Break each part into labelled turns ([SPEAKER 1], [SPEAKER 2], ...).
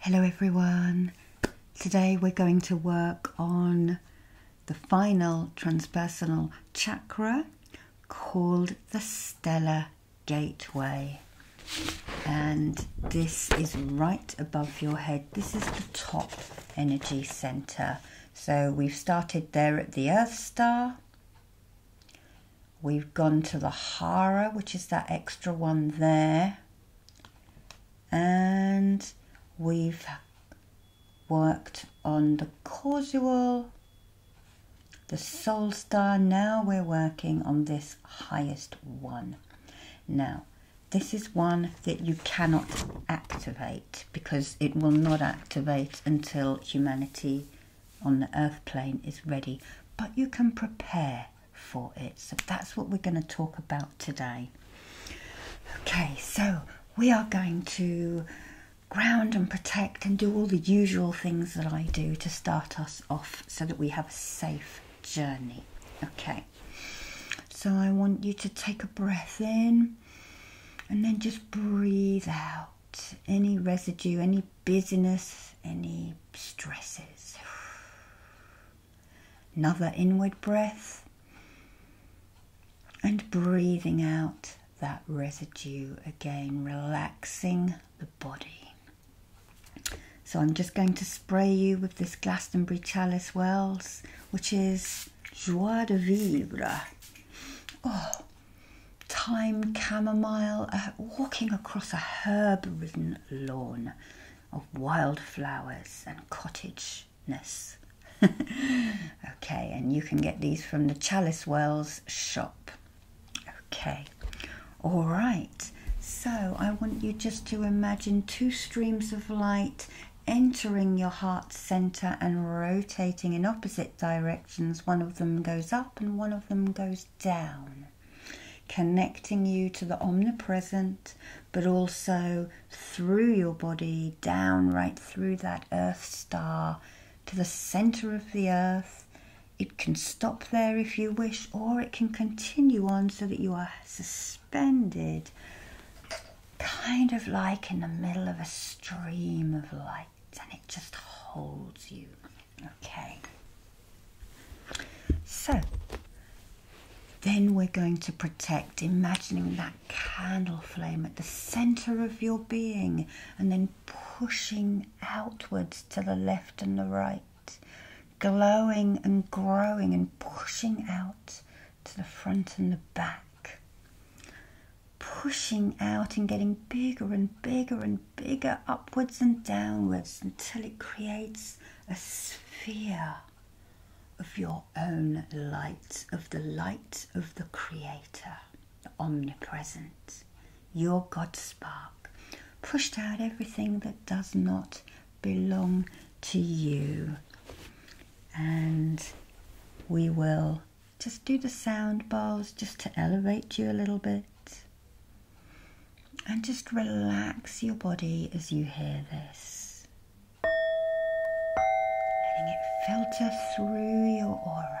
[SPEAKER 1] Hello everyone. Today we're going to work on the final transpersonal chakra called the stellar gateway. And this is right above your head. This is the top energy center. So we've started there at the earth star We've gone to the Hara, which is that extra one there. And we've worked on the causal, the soul star. Now we're working on this highest one. Now, this is one that you cannot activate because it will not activate until humanity on the earth plane is ready, but you can prepare for it. So that's what we're going to talk about today. Okay, so we are going to ground and protect and do all the usual things that I do to start us off so that we have a safe journey. Okay, so I want you to take a breath in and then just breathe out any residue, any busyness, any stresses. Another inward breath and breathing out that residue again, relaxing the body. So I'm just going to spray you with this Glastonbury Chalice Wells, which is Joie de Vivre. Oh, thyme, chamomile, walking across a herb ridden lawn of wildflowers and cottageness. okay, and you can get these from the Chalice Wells shop. Okay, all right. So I want you just to imagine two streams of light entering your heart center and rotating in opposite directions. One of them goes up and one of them goes down connecting you to the omnipresent, but also through your body, down right through that earth star to the center of the earth. It can stop there if you wish, or it can continue on so that you are suspended, kind of like in the middle of a stream of light and it just holds you. Okay. So then we're going to protect, imagining that candle flame at the center of your being and then pushing outwards to the left and the right, glowing and growing and pushing out to the front and the back. Pushing out and getting bigger and bigger and bigger upwards and downwards until it creates a sphere of your own light, of the light of the Creator, the omnipresent, your God spark. Pushed out everything that does not belong to you. And we will just do the sound bowls just to elevate you a little bit. And just relax your body as you hear this, letting it filter through your aura.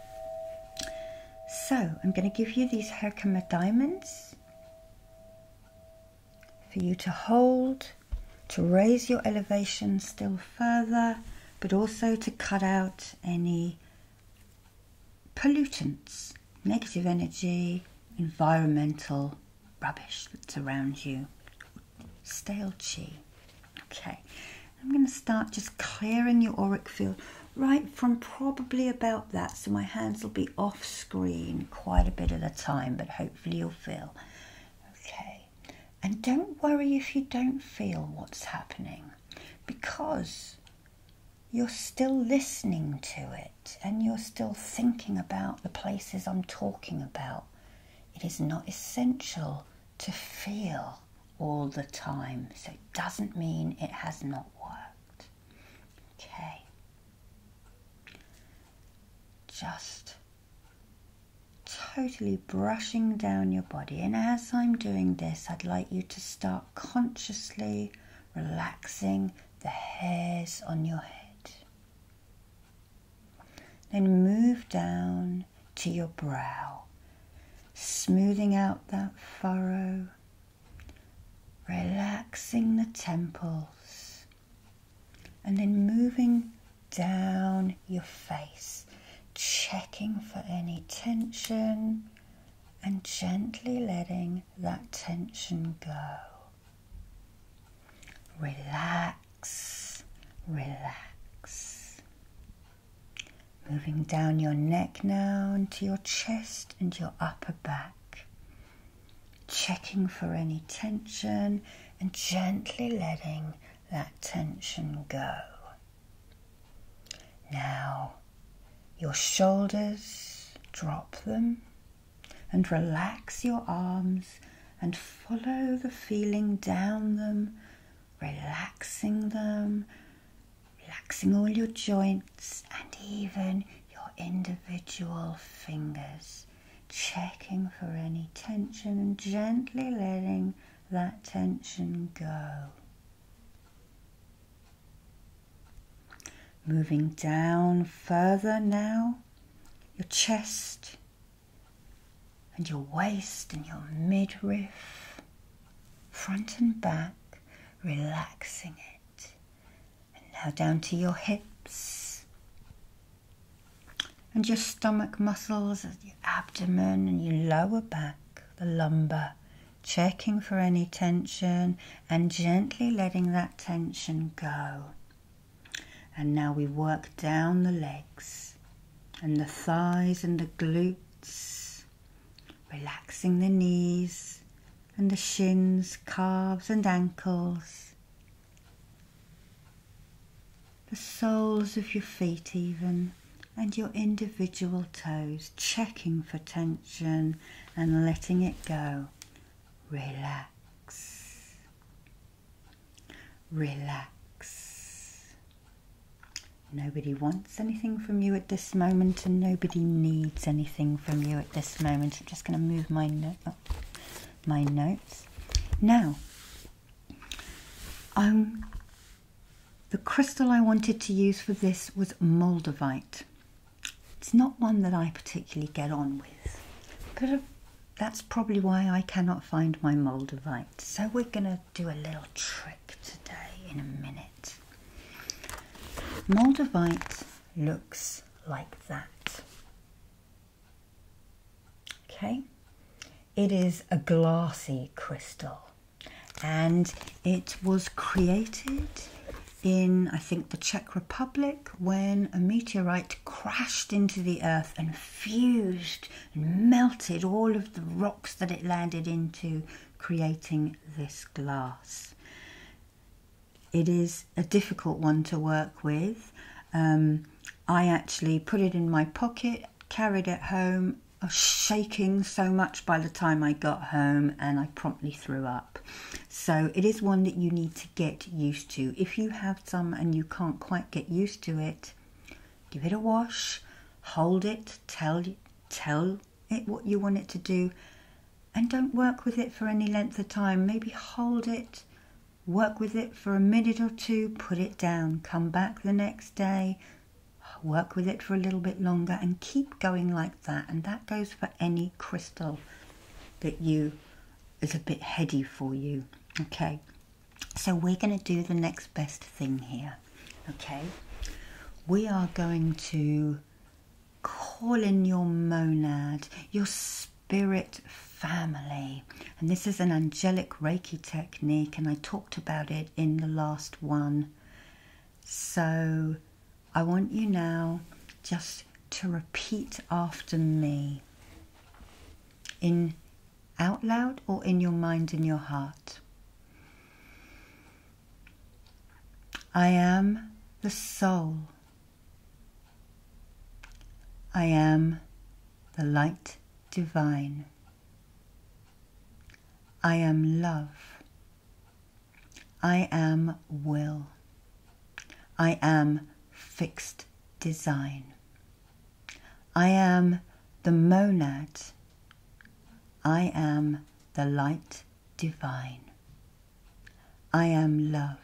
[SPEAKER 1] So I'm going to give you these Herkimer diamonds for you to hold, to raise your elevation still further, but also to cut out any pollutants, negative energy, environmental rubbish that's around you, stale chi. Okay, I'm going to start just clearing your auric field right from probably about that. So my hands will be off screen quite a bit of the time, but hopefully you'll feel. Okay, and don't worry if you don't feel what's happening because you're still listening to it and you're still thinking about the places I'm talking about. It is not essential to feel all the time. So it doesn't mean it has not worked. Okay. Just totally brushing down your body. And as I'm doing this, I'd like you to start consciously relaxing the hairs on your head. Then move down to your brow, smoothing out that furrow, relaxing the temples, and then moving down your face, checking for any tension and gently letting that tension go. Relax, relax. Moving down your neck now into your chest and your upper back. Checking for any tension and gently letting that tension go. Now, your shoulders, drop them and relax your arms and follow the feeling down them relaxing them, relaxing all your joints and even your individual fingers, checking for any tension and gently letting that tension go. Moving down further now, your chest, and your waist and your midriff, front and back, relaxing it. And now down to your hips and your stomach muscles, your abdomen and your lower back, the lumbar. Checking for any tension and gently letting that tension go. And now we work down the legs, and the thighs and the glutes, relaxing the knees and the shins, calves, and ankles, the soles of your feet, even, and your individual toes, checking for tension and letting it go. Relax. Relax. Nobody wants anything from you at this moment, and nobody needs anything from you at this moment. I'm just going to move my my notes. Now, um, the crystal I wanted to use for this was moldavite. It's not one that I particularly get on with, but uh, that's probably why I cannot find my moldavite so we're gonna do a little trick today in a minute. Moldavite looks like that. Okay, it is a glassy crystal and it was created in, I think, the Czech Republic when a meteorite crashed into the earth and fused melted all of the rocks that it landed into, creating this glass. It is a difficult one to work with. Um, I actually put it in my pocket, carried it home. shaking so much by the time I got home, and I promptly threw up. So, it is one that you need to get used to. If you have some and you can't quite get used to it, give it a wash, hold it, tell, tell it what you want it to do, and don't work with it for any length of time. Maybe hold it, work with it for a minute or two, put it down, come back the next day, work with it for a little bit longer, and keep going like that. And that goes for any crystal that you is a bit heady for you. Okay. So we're going to do the next best thing here, okay? We are going to call in your monad, your spirit family. And this is an angelic Reiki technique, and I talked about it in the last one. So I want you now just to repeat after me in out loud or in your mind in your heart. I am the soul. I am the light divine. I am love. I am will. I am fixed design. I am the monad. I am the light divine. I am love.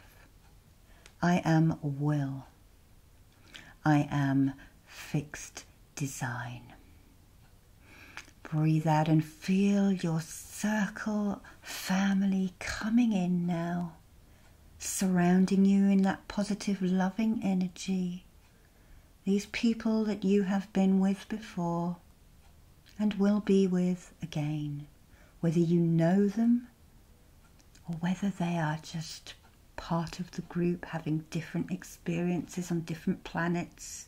[SPEAKER 1] I am will. I am fixed design. Breathe out and feel your circle family coming in now surrounding you in that positive, loving energy, these people that you have been with before and will be with again, whether you know them or whether they are just part of the group having different experiences on different planets.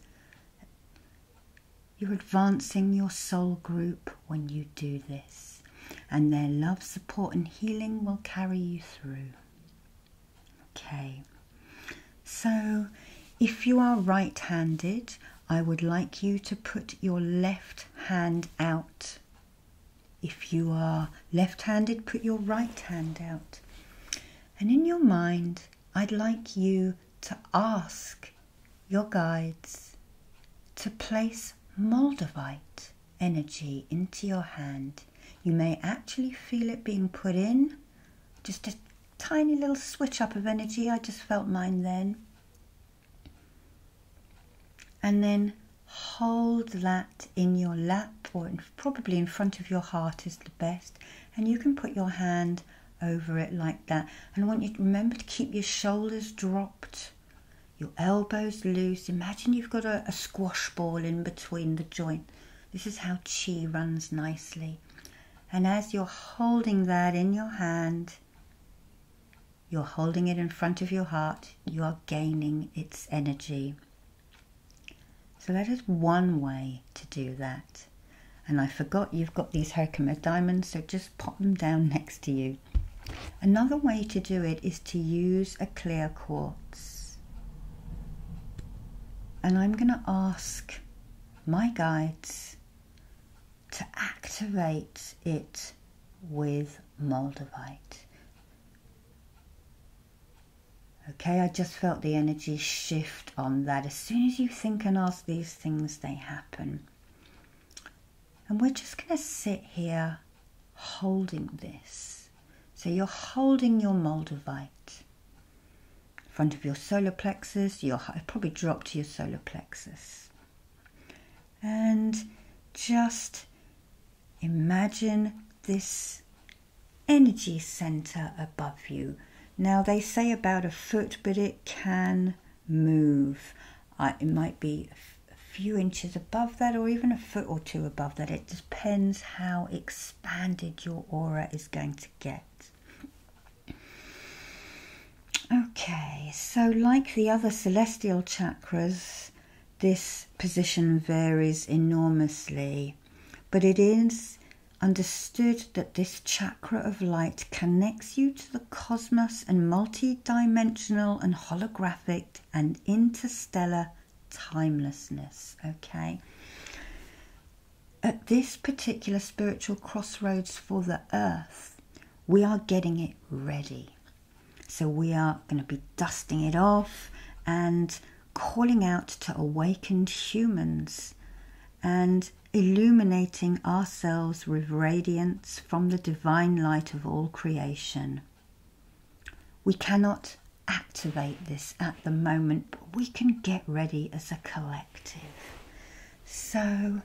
[SPEAKER 1] You're advancing your soul group when you do this and their love, support, and healing will carry you through. Okay, so if you are right handed, I would like you to put your left hand out. If you are left handed, put your right hand out. And in your mind, I'd like you to ask your guides to place moldavite energy into your hand. You may actually feel it being put in. Just a tiny little switch up of energy. I just felt mine then. And then hold that in your lap or probably in front of your heart is the best. And you can put your hand over it like that. And I want you to remember to keep your shoulders dropped your elbows loose. Imagine you've got a, squash ball in between the joint. This is how chi runs nicely. And as you're holding that in your hand, you're holding it in front of your heart, you are gaining its energy. So that is one way to do that. And I forgot you've got these Herkimer diamonds, so just pop them down next to you. Another way to do it is to use a clear quartz. And I'm going to ask my guides to activate it with moldavite. Okay, I just felt the energy shift on that. As soon as you think and ask these things, they happen. And we're just going to sit here holding this. So you're holding your moldavite in front of your solar plexus. Your probably drop to your solar plexus, and just imagine this energy center above you. Now they say about a foot, but it can move. Uh, it might be a few inches above that or even a foot or two above that. It depends how expanded your aura is going to get. Okay, so like the other celestial chakras, this position varies enormously, but it is understood that this chakra of light connects you to the cosmos and multi dimensional and holographic and interstellar timelessness. Okay. At this particular spiritual crossroads for the earth, we are getting it ready. So we are going to be dusting it off and calling out to awakened humans and illuminating ourselves with radiance from the divine light of all creation. We cannot activate this at the moment, but we can get ready as a collective. So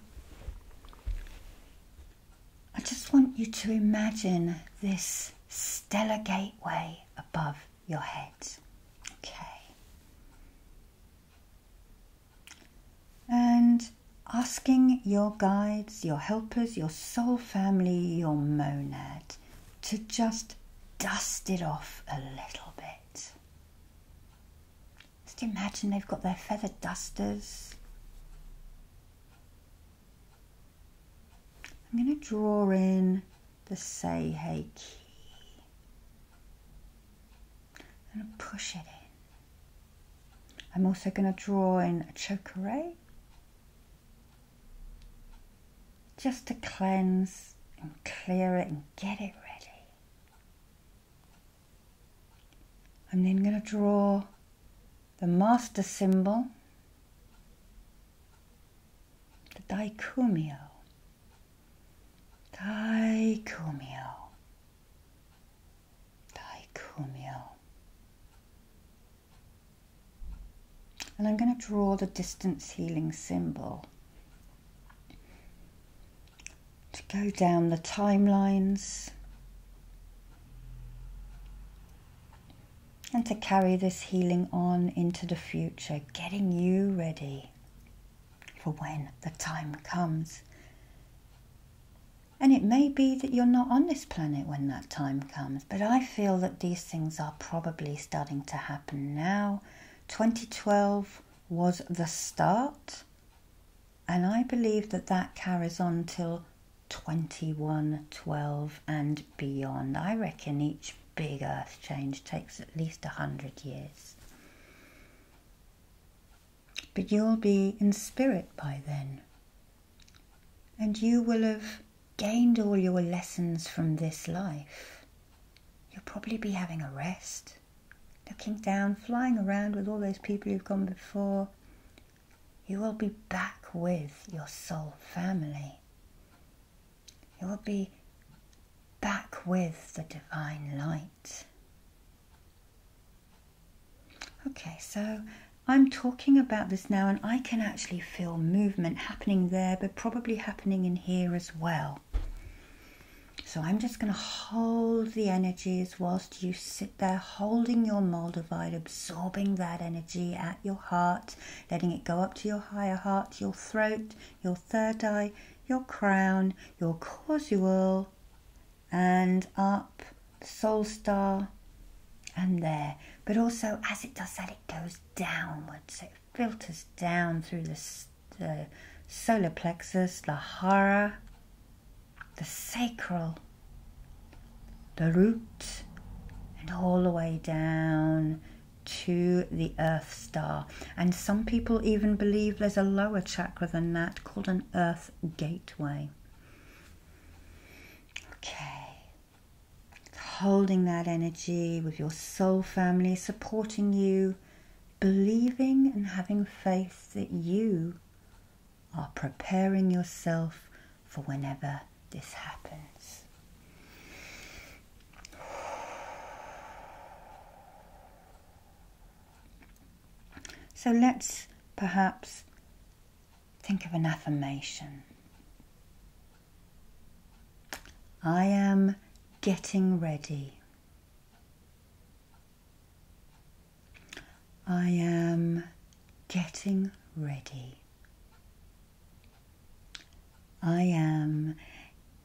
[SPEAKER 1] I just want you to imagine this stellar gateway above your head. Okay. And asking your guides, your helpers, your soul family, your monad to just dust it off a little bit. Just imagine they've got their feather dusters. I'm going to draw in the say hey key. I'm going to push it in. I'm also going to draw in a chokeray just to cleanse and clear it and get it ready. I'm then going to draw the master symbol, the daikumio. Daikumio dichromia. And I'm going to draw the distance healing symbol to go down the timelines and to carry this healing on into the future, getting you ready for when the time comes and it may be that you're not on this planet when that time comes, but I feel that these things are probably starting to happen now. 2012 was the start, and I believe that that carries on till 21, 12, and beyond. I reckon each big earth change takes at least 100 years but you'll be in spirit by then. And you will have gained all your lessons from this life. You'll probably be having a rest, looking down, flying around with all those people who've gone before. You will be back with your soul family. You will be back with the divine light. Okay, so I'm talking about this now, and I can actually feel movement happening there, but probably happening in here as well. So I'm just going to hold the energies whilst you sit there holding your Moldavite, absorbing that energy at your heart, letting it go up to your higher heart, your throat, your third eye, your crown, your causal, and up, soul star, and there. But also, as it does that, it goes downwards. It filters down through the, solar plexus, the hara, the sacral, the root, and all the way down to the earth star. And some people even believe there's a lower chakra than that called an earth gateway. Okay. Holding that energy with your soul family, supporting you, believing and having faith that you are preparing yourself for whenever this happens. So let's perhaps think of an affirmation. I am getting ready. I am getting ready. I am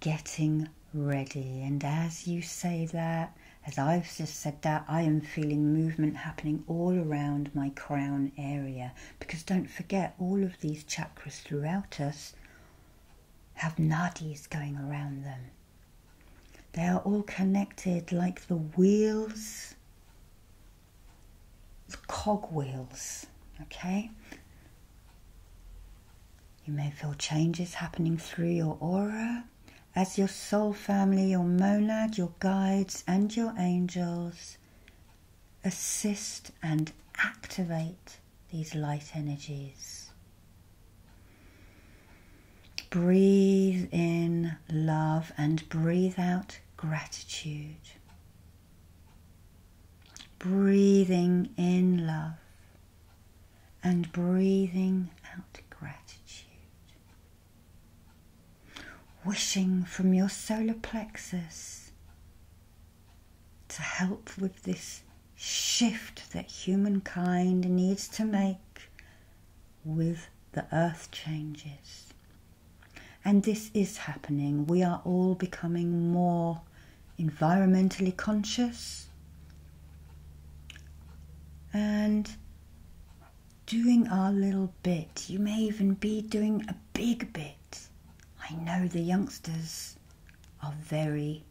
[SPEAKER 1] getting ready. And as you say that, as I've just said that, I am feeling movement happening all around my crown area because don't forget, all of these chakras throughout us have nadis going around them. They are all connected like the wheels, the cogwheels, okay? You may feel changes happening through your aura as your soul family, your monad, your guides, and your angels assist and activate these light energies. Breathe in love and breathe out gratitude. Breathing in love and breathing out gratitude. Wishing from your solar plexus to help with this shift that humankind needs to make with the earth changes. And this is happening. We are all becoming more environmentally conscious and doing our little bit. You may even be doing a big bit. I know the youngsters are very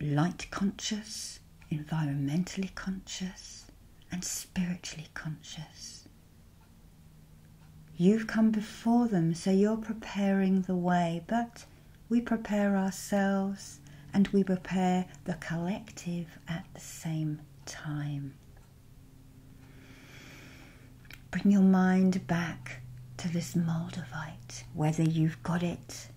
[SPEAKER 1] light conscious, environmentally conscious, and spiritually conscious. You've come before them, so you're preparing the way, but we prepare ourselves and we prepare the collective at the same time. Bring your mind back to this moldavite, whether you've got it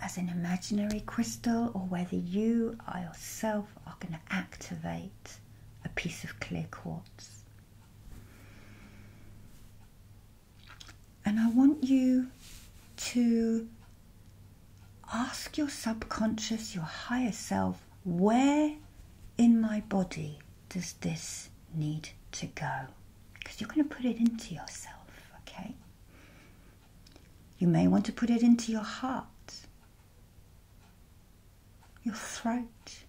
[SPEAKER 1] as an imaginary crystal or whether you or yourself are going to activate a piece of clear quartz. And I want you to ask your subconscious, your higher self, where in my body does this need to go? Because you're going to put it into yourself, okay? You may want to put it into your heart, your throat,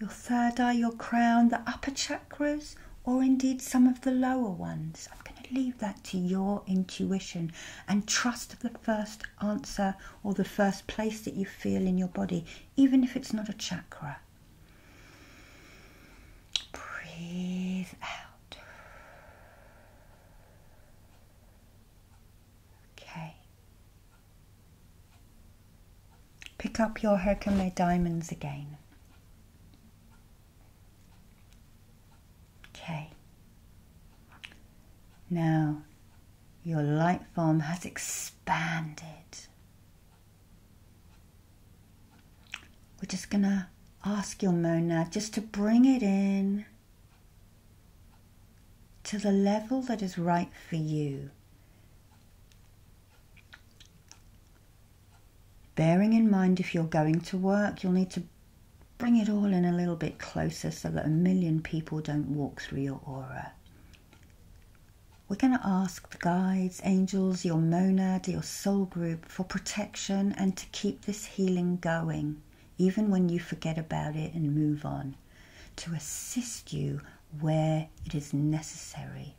[SPEAKER 1] your third eye, your crown, the upper chakras, or indeed some of the lower ones leave that to your intuition and trust the first answer or the first place that you feel in your body, even if it's not a chakra. Breathe out. Okay. Pick up your Herkimer diamonds again. Okay. Now your light form has expanded. We're just going to ask your monad just to bring it in to the level that is right for you. Bearing in mind if you're going to work, you'll need to bring it all in a little bit closer so that a million people don't walk through your aura. We're going to ask the guides, angels, your monad, your soul group for protection and to keep this healing going, even when you forget about it and move on, to assist you where it is necessary.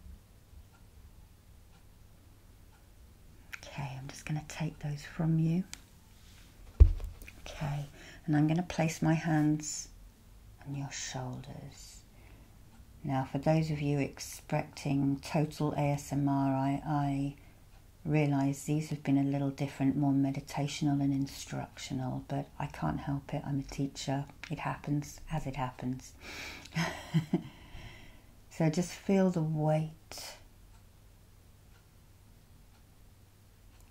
[SPEAKER 1] Okay, I'm just going to take those from you. Okay, and I'm going to place my hands on your shoulders. Now, for those of you expecting total ASMR, I, realise these have been a little different, more meditational and instructional, but I can't help it. I'm a teacher. It happens as it happens. So just feel the weight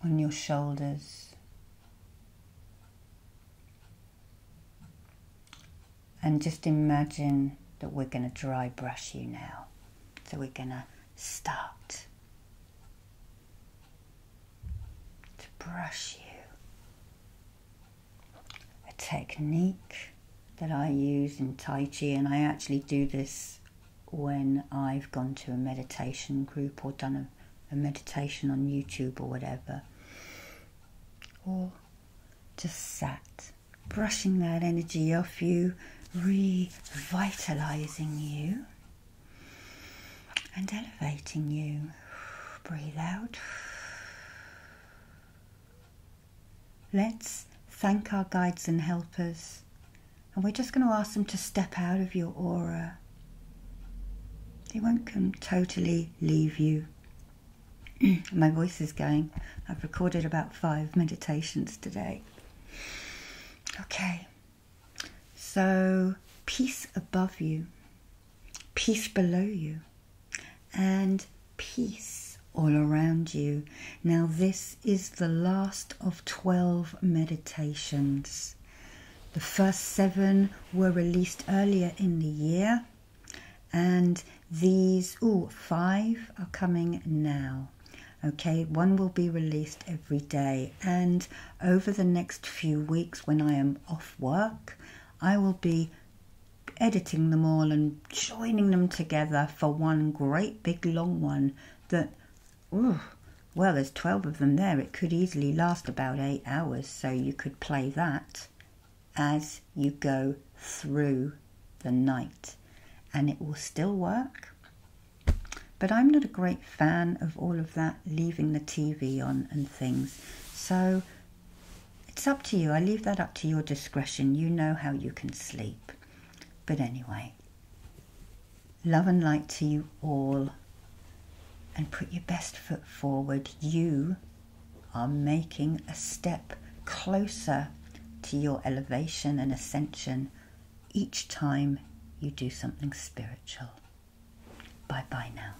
[SPEAKER 1] on your shoulders. And just imagine that we're going to dry brush you now. So we're going to start to brush you a technique that I use in Tai Chi, and I actually do this when I've gone to a meditation group or done a, meditation on YouTube or whatever, or just sat, brushing that energy off you, revitalizing you, and elevating you. Breathe out. Let's thank our guides and helpers. And we're just going to ask them to step out of your aura. They won't come totally leave you. My voice is going. I've recorded about five meditations today. Okay. So, peace above you peace below you, and peace all around you. Now, this is the last of 12 meditations. The first seven were released earlier in the year, and these, oh, five are coming now. Okay, one will be released every day, and over the next few weeks when I am off work, I will be editing them all and joining them together for one great big long one that, well, there's 12 of them there. It could easily last about eight hours, so you could play that as you go through the night and it will still work. But I'm not a great fan of all of that leaving the TV on and things. So it's up to you. I leave that up to your discretion. You know how you can sleep. But anyway, love and light to you all and put your best foot forward. You are making a step closer to your elevation and ascension each time you do something spiritual. Bye bye now.